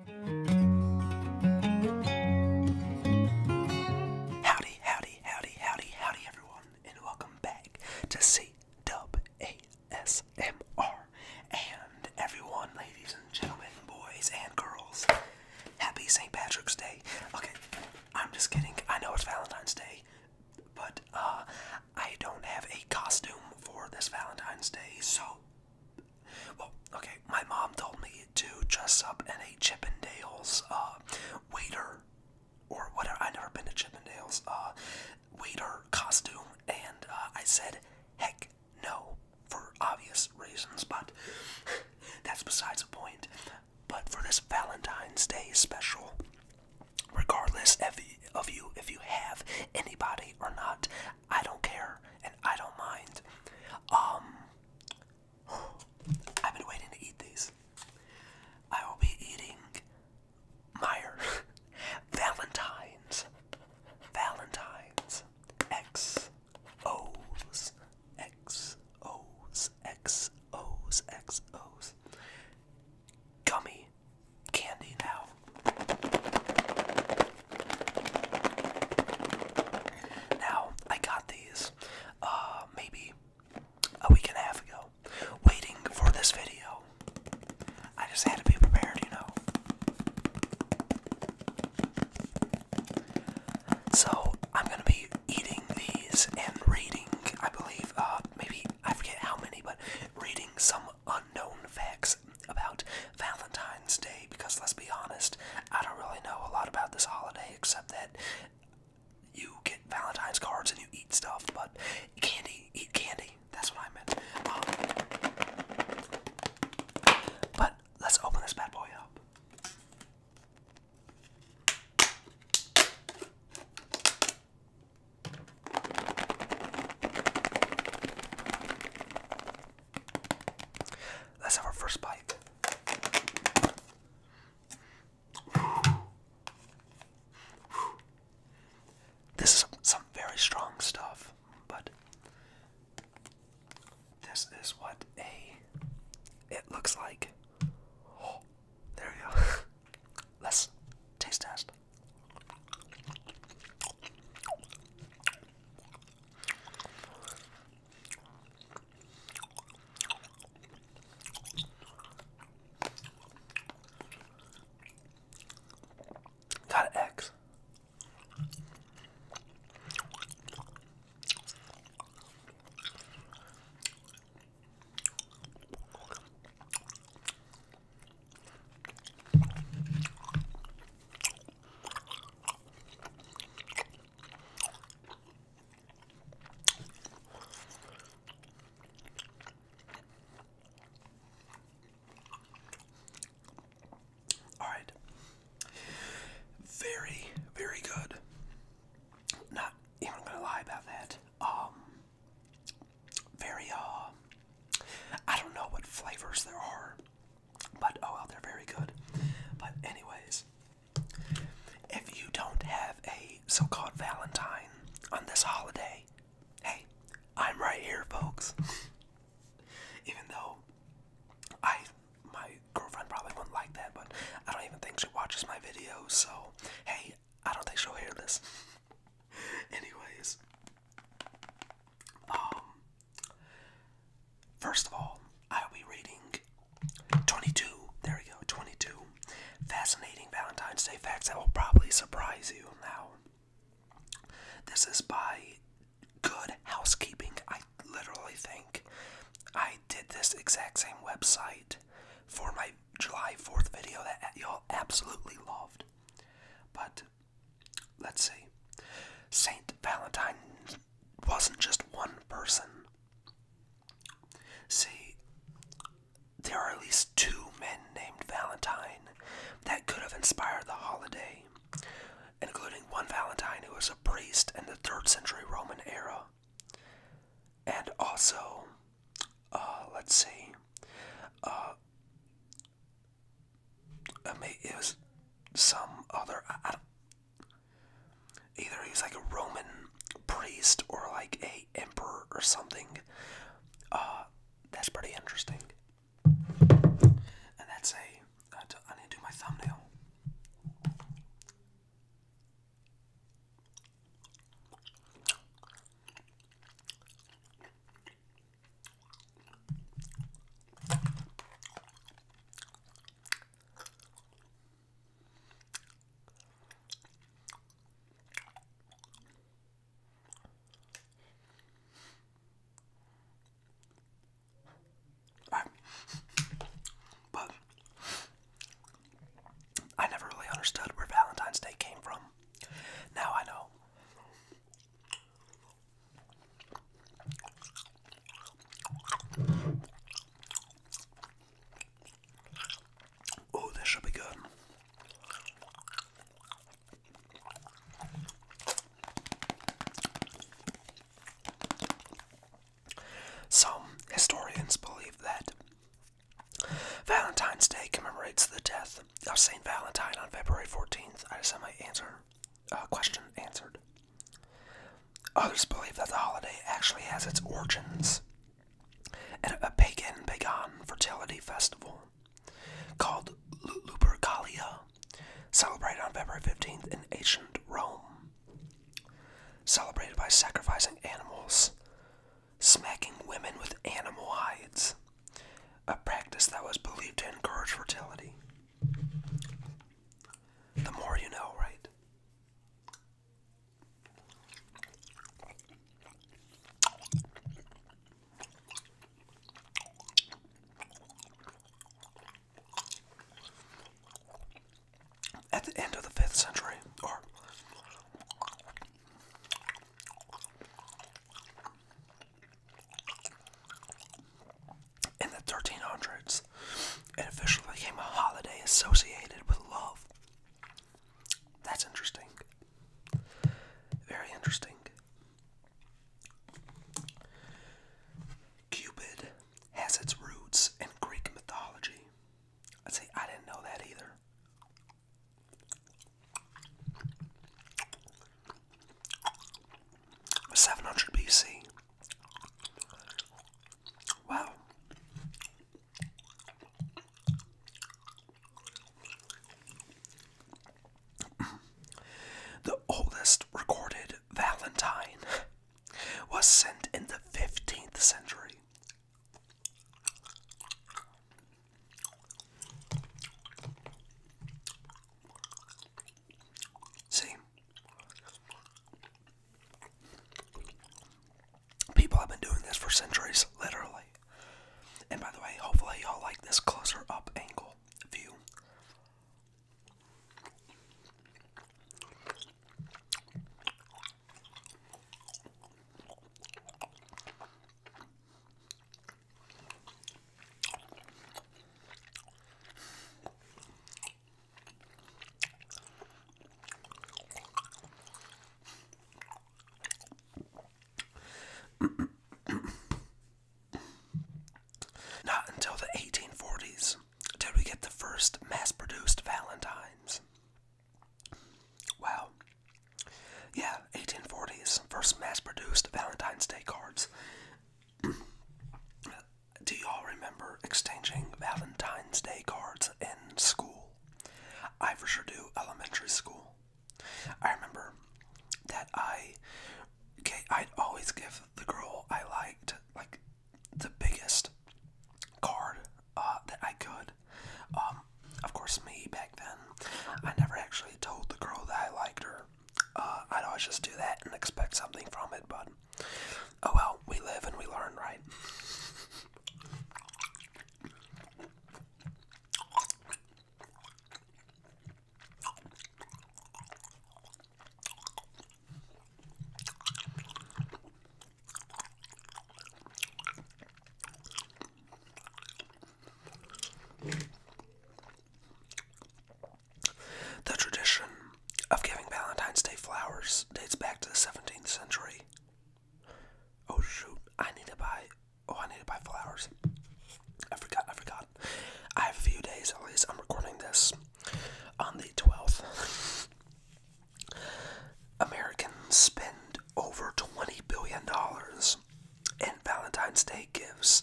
Howdy, howdy, howdy, howdy, howdy, everyone, and welcome back to C And everyone, ladies and gentlemen, boys and girls, happy St. Patrick's Day. Okay, I'm just kidding. I know it's Valentine's Day, but uh, I don't have a costume for this Valentine's Day, so well, okay, my mom told me to dress up in a Chippendales uh, waiter or whatever. I've never been to Chippendales uh, waiter costume, and uh, I said, heck no, for obvious reasons, but that's besides the point. But for this Valentine's Day special, regardless of you, if you have anybody or not, I don't care and I don't mind. Um, I've been waiting to eat these. I will be eating Meyer Valentine's Valentine's X O's X O's X O's X O's Gummy Candy now now, I got these uh, maybe a week and a half ago, waiting for this video. I just had to be prepared, you know. So, I'm gonna be eating these and reading, I believe, uh, maybe I forget how many, but reading some unknown facts about Valentine's Day because let's be honest, I don't really know a lot about this holiday except that you get Valentine's cards and you eat stuff, but candy, eat candy. That's what I meant. Um, but let's open this bad boy up. Let's have our first bite. This is some very strong stuff, but this is what a it looks like. there we go. Let's taste test. Got an X. All right. Very, very good. Not even gonna lie about that. Um, very, uh, I don't know what flavors there are but oh well, they're very good. But, anyways, if you don't have a so called Valentine on this holiday, hey, I'm right here, folks. even though I, my girlfriend probably wouldn't like that, but I don't even think she watches my videos, so hey, I don't think she'll hear this. Anyways, um, First of all, I'll be reading 22. There we go, 22. Fascinating Valentine's Day facts that will probably surprise you now. This is by Good Housekeeping, I literally think. I did this exact same website for my July 4th video that y'all absolutely loved. But Let's see. Saint Valentine wasn't just one person. See, there are at least two men named Valentine that could have inspired the holiday, including one Valentine who was a priest in the 3rd century Roman era. And also, uh, let's see, uh, I mean, it was some other. either he was like a Roman priest or like a emperor or something. Uh, that's pretty interesting. And that's a. I, need to do my thumbnail. I, but I never really understood where Valentine's Day came from. Now I know. Oh, this should be good. Some historians believe that Valentine's Day commemorates the death of St. Valentine on February 14th. I just had answer uh, question answered. Others believe that the holiday actually has its origins at a pagan fertility festival called Lupercalia, celebrated on February 15th in ancient Rome, celebrated by sacrificing animals, smacking women with animal hides, a practice that was believed to encourage fertility. The more you know, right? At the end of the 5th century, or in the 1300s, it officially became a holiday associated with love. That's interesting. Very interesting. Cupid has its roots in Greek mythology. I'd say I didn't know that either. 700 BC. Wow. the oldest recorded valentine was sent in the 15th century. See, people have been doing this for centuries, literally. And by the way, hopefully, y'all like this closer up angle view. Not until the 1840s did we get the first mass produced Valentines. Well, Yeah, 1840s, first mass produced Valentine's Day cards. Do y'all remember exchanging Valentine's Day cards in school? I for sure do, elementary school. I remember that I, okay, I'd always give the girl I liked, like, the biggest card uh, that I could. Um, of course, me back then, I never actually told the girl that I liked her. Uh, I'd always just do that and expect something from it, but oh well, we live and we learn, right? The tradition of giving Valentine's Day flowers dates back to the 17th century. Oh shoot, I need to buy, oh I need to buy flowers. I forgot, I forgot. I have a few days, at least I'm recording this on the 12th. Americans spend over $20 billion in Valentine's Day gifts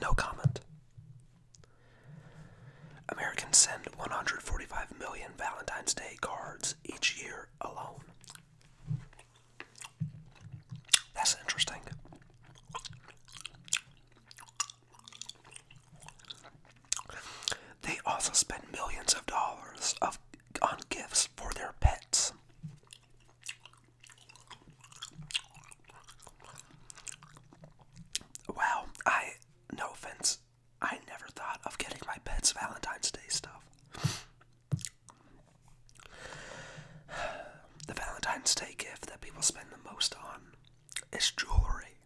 No comment. Americans send 145 million Valentine's Day cards each year alone. That's interesting. They also spend millions of dollars of on gifts for their pets. Well, I, no offense, I never thought of getting my pets Valentine's Day stuff. The Valentine's Day gift that people spend the most on is jewelry.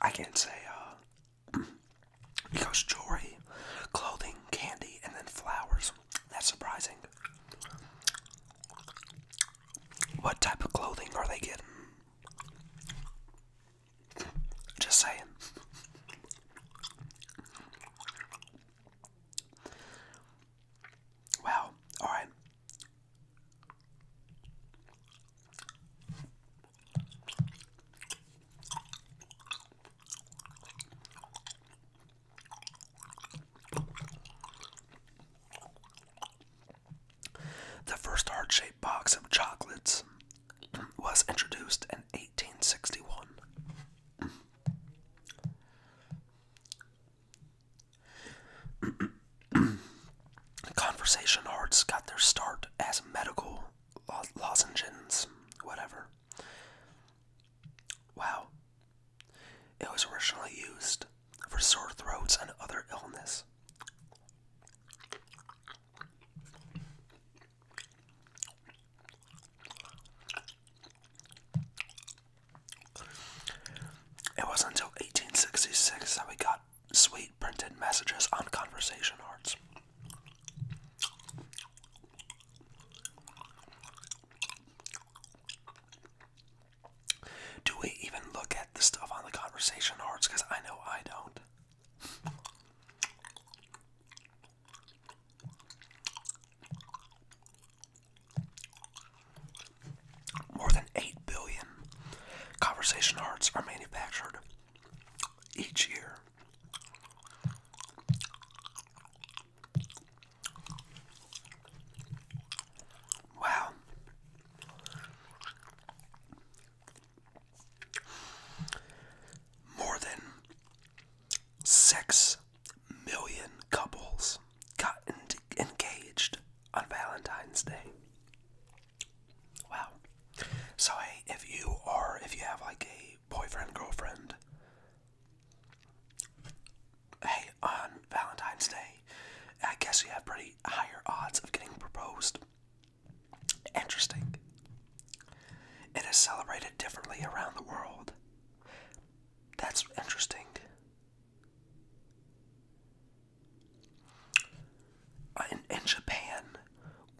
I can't say, uh, because jewelry, clothing, candy, and then flowers that's surprising. What type of clothing are they getting? Just saying. Wow, alright. The first heart shaped box of chocolates was introduced in 1861. Conversation hearts got their start as medical lozenges, whatever, Wow. It was originally used for sore throats and other illness. It was until 1866 that we got sweet printed messages on conversation arts. Do we even look at the stuff on the conversation arts? Because I know I don't. More than 8 billion conversation arts are manufactured each year. Wow. More than six million couples got engaged on Valentine's Day. Wow. So hey, if you are, if you have like a boyfriend, girlfriend, hey, on Valentine's Day, I guess you have pretty higher odds of getting proposed. Interesting. It is celebrated differently around the world. That's interesting. in Japan,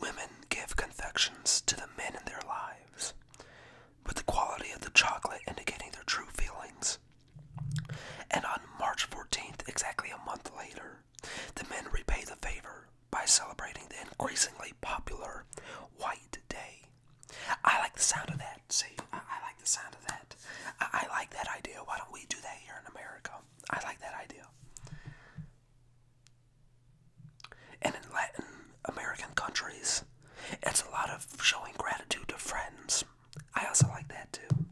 women give confections to the men in their lives with the quality of the chocolate indicating their true feelings. And on March 14th, exactly a month later, the men repay the favor by celebrating the increasingly popular White Day. I like the sound of that. See, I, like the sound of that. I like that idea. Why don't we do that here in America? I like that idea. And in Latin American countries. It's a lot of showing gratitude to friends. I also like that too.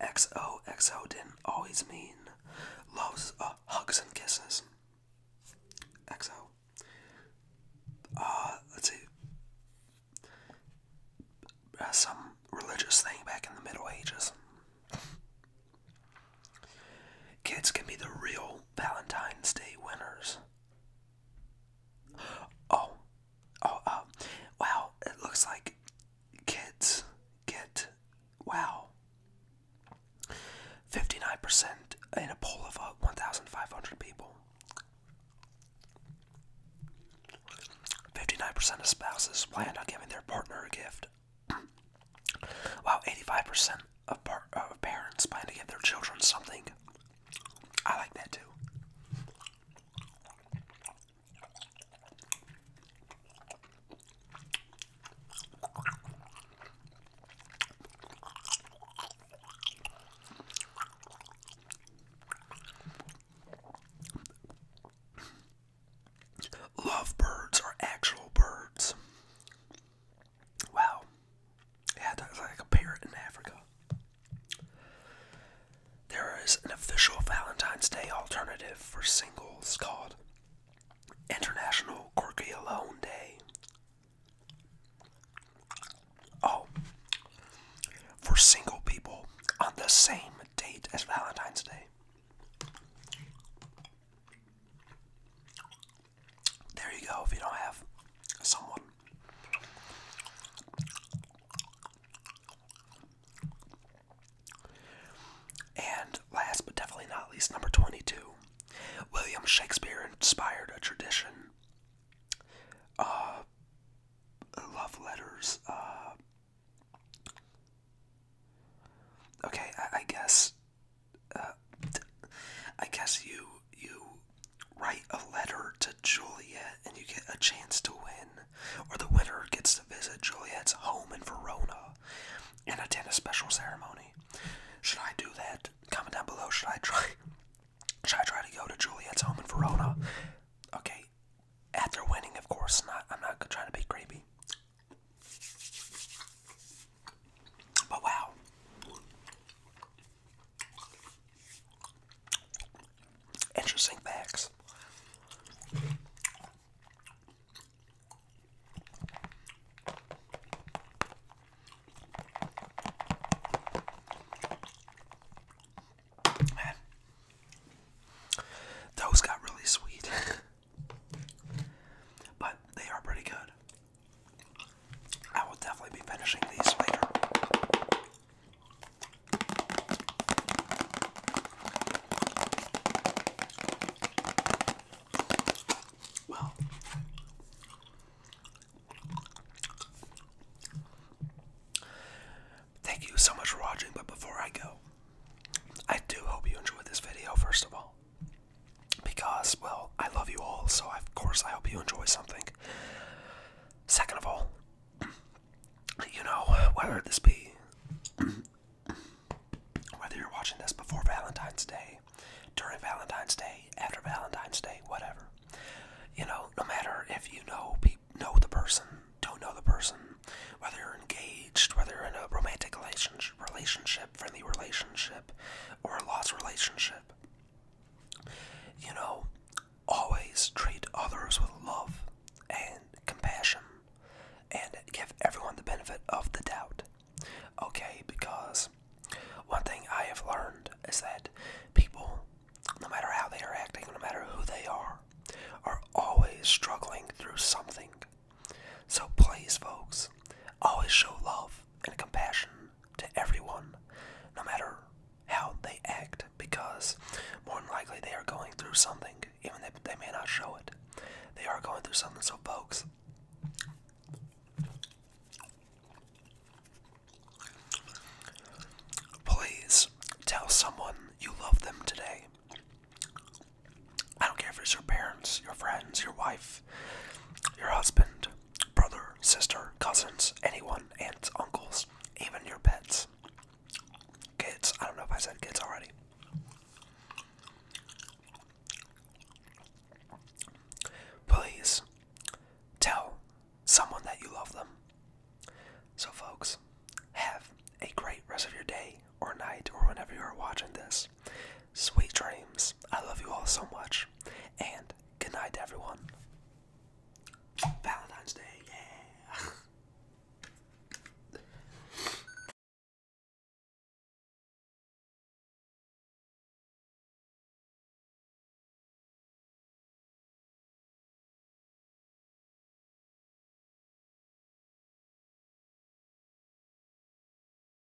Xo, xo didn't always mean loves, uh, hugs, and kisses. XO. Uh, let's see. Uh, some religious thing back in the Middle Ages. Kids can be the real Valentine's Day winners. Oh, oh, uh, wow, it looks like kids get, wow, 59% in a poll of uh, 1,500 people. 59% of spouses plan on giving their partner a gift, while 85% of, parents plan to give their children something. I like that too. Lovebirds are actual birds. Wow. Yeah, that's like a parrot in Africa. There is an official Valentine's Day alternative for singles called International Quirky Alone Day. Oh, for single people on the same date as Valentine's Day. There you go, if you don't have someone. And last but definitely not least, number 22. William Shakespeare inspired a tradition. Uh, love letters. Uh, okay, I guess I guess you you write a letter to Juliet and you get a chance to win, or the winner gets to visit Juliet's home in Verona and attend a special ceremony. Should I do that? Comment down below. Should I try? Should I try to go to Juliet's home in Verona? Okay. After winning, of course, not. I'm not trying to be creepy. But wow. Interesting facts. Man, those got really sweet, but they are pretty good. I will definitely be finishing these later. Well, thank you so much for watching, but before I go, I do hope you enjoyed this video, first of all because, well, I love you all, so of course I hope you enjoy something. Second of all, you know, whether this be, whether you're watching this before Valentine's Day, during Valentine's Day, after Valentine's Day, whatever, you know, no matter if you know know the person, don't know the person, whether you're engaged, whether you're in a romantic relationship, friendly relationship, or a lost relationship. You know, always treat others with love and compassion and give everyone the benefit of the doubt. Okay, because one thing I have learned is that people, no matter how they are acting, no matter who they are, are always struggling through something. So please, folks, always show love and compassion to everyone, no matter how they act, because more than likely they are going through something, even if they may not show it. They are going through something, so folks. Please tell someone you love them today. I don't care if it's your parents, your friends, your wife, your husband, brother, sister, cousins, anyone, aunts, uncles, even your pets. Kids, I don't know if I said kids already. Please tell someone that you love them. So, folks, have a great rest of your day or night or whenever you are watching this. Sweet dreams. I love you all so much. And good night, everyone.